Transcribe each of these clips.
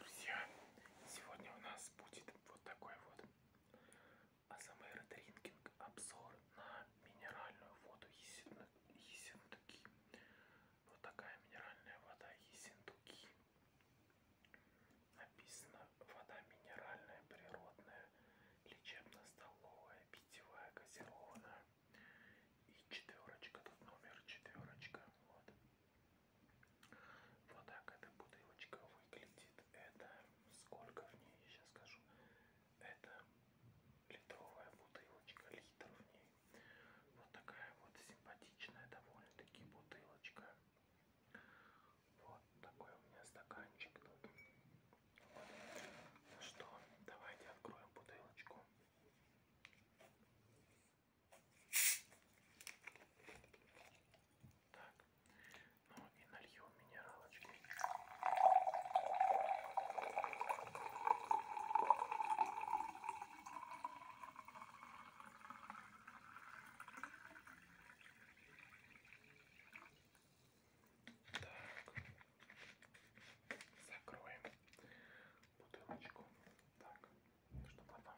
Друзья, сегодня у нас будет вот такой вот АСМР дринкинг обзор на минеральную воду Ессентуки. Вот такая минеральная вода Ессентуки. Написано вода минеральная, природная, лечебно-столовая, питьевая, газированная. И четверочка, тут номер четверочка. Вот. Вот так эта бутылочка выглядит. Это сколько в ней, сейчас скажу. Это литровая бутылочка, литр в ней. Вот такая вот симпатичная довольно-таки бутылочка. Вот такой у меня стаканчик тут. Вот. Ну что, давайте откроем бутылочку. Так, ну и нальем минералочки. Так, закроем бутылочку. Так, чтобы она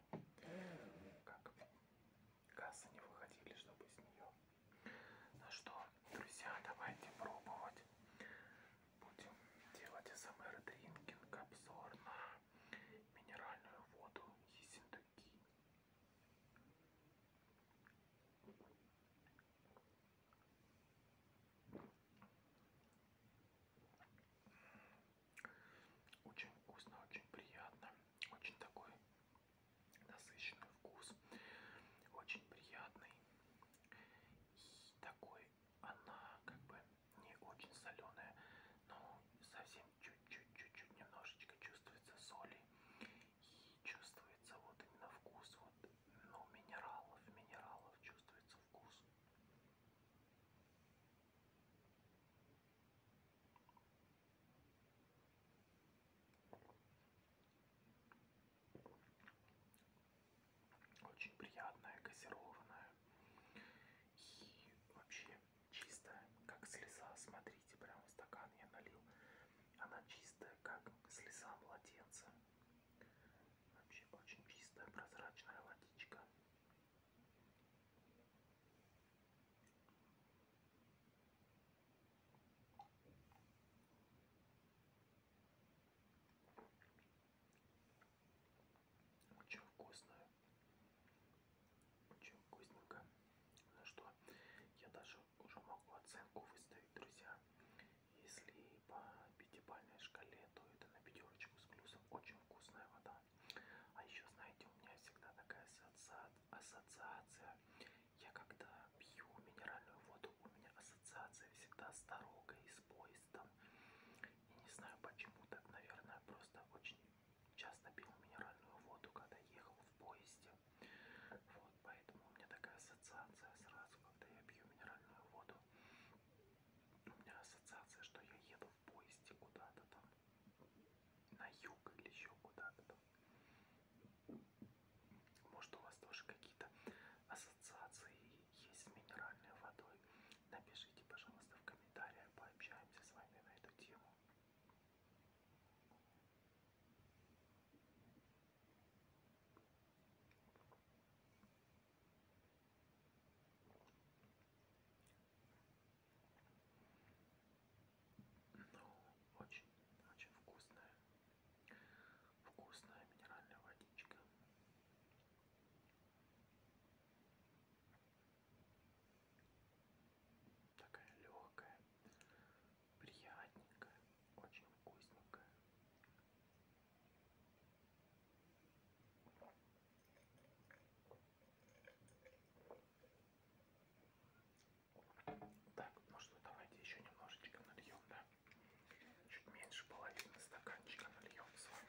как газы не выходили, чтобы из нее. Ну что, друзья, давайте пробовать. Будем делать СМР дринкинг, обзор на минеральную воду Ессентуки. Очень вкусно, очень приятно, очень такой насыщенный вкус, очень приятный. И такой она как бы не очень соленая, но совсем чуть-чуть-чуть-чуть немножечко чувствуется соли и чувствуется вот именно вкус вот ну, минералов, минералов чувствуется вкус. Очень приятная, газированная и вообще чистая, как слеза. Смотрите, прям в стакан я налил. Она чистая, как слеза младенца. Вообще очень чистая прозрачная водичка. Очень вкусная. Очень вкусненько. Ну что, я даже уже могу оценку выставить, друзья. Если по пятибалльной шкале, то это на пятерочку с плюсом. Очень вкусная вода. А еще, знаете, у меня всегда такая ассоциация. Я когда пью минеральную воду, у меня ассоциация всегда с дорогой, с поездом. И не знаю почему так, наверное, просто очень часто пил минеральную воду, когда ехал в поезде. Вот, поэтому у меня такая ассоциация сразу, когда я пью минеральную воду у меня ассоциация, что я еду в поезде куда-то там, на юг или еще куда-то там. Может, у вас тоже какие-то ассоциации есть с минеральной водой? Напишите, пожалуйста, в комментариях, пообщаемся с вами на эту тему. Ну, очень, очень вкусная, вкусная минеральная водичка. Такая легкая, приятненькая, очень вкусненькая. Так, ну что, давайте еще немножечко нальем, да? Чуть меньше половины стаканчика нальем с вами.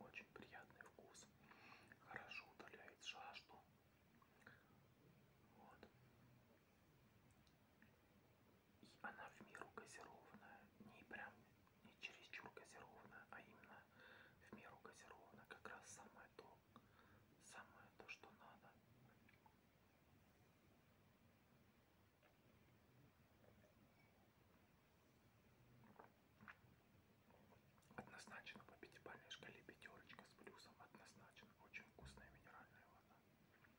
Очень приятный вкус. Хорошо удаляет жажду. Вот. И она в меру газированная. Не прям не чересчур газированная, а именно в меру газированная. Как раз самое то. Самое то, что надо. Однозначно по пятибалльной шкале пятерочка с плюсом. Однозначно очень вкусная минеральная вода.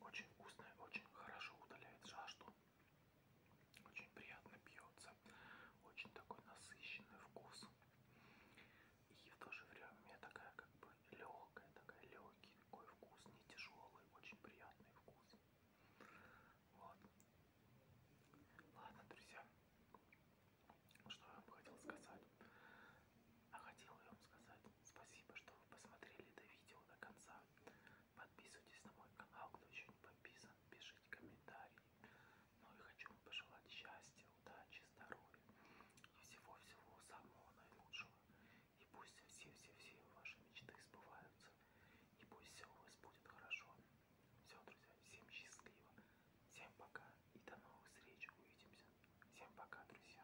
Очень вкусная, очень хорошо удаляет жажду. Очень приятно пьется, очень такой насыщенный вкус. И в то же время такая как бы легкая, такая легкий такой вкус, не тяжелый, очень приятный вкус. Вот. Ладно, друзья, что я вам хотел сказать. А хотел я вам сказать спасибо, что вы посмотрели это видео до конца. Подписывайтесь на мой канал, кто еще не подписан, пишите комментарии. Ну и хочу вам пожелать счастья, удачи, здоровья и всего-всего самого наилучшего. И пусть все-все-все ваши мечты сбываются. И пусть все у вас будет хорошо. Все, друзья, всем счастливо. Всем пока и до новых встреч. Увидимся. Всем пока, друзья.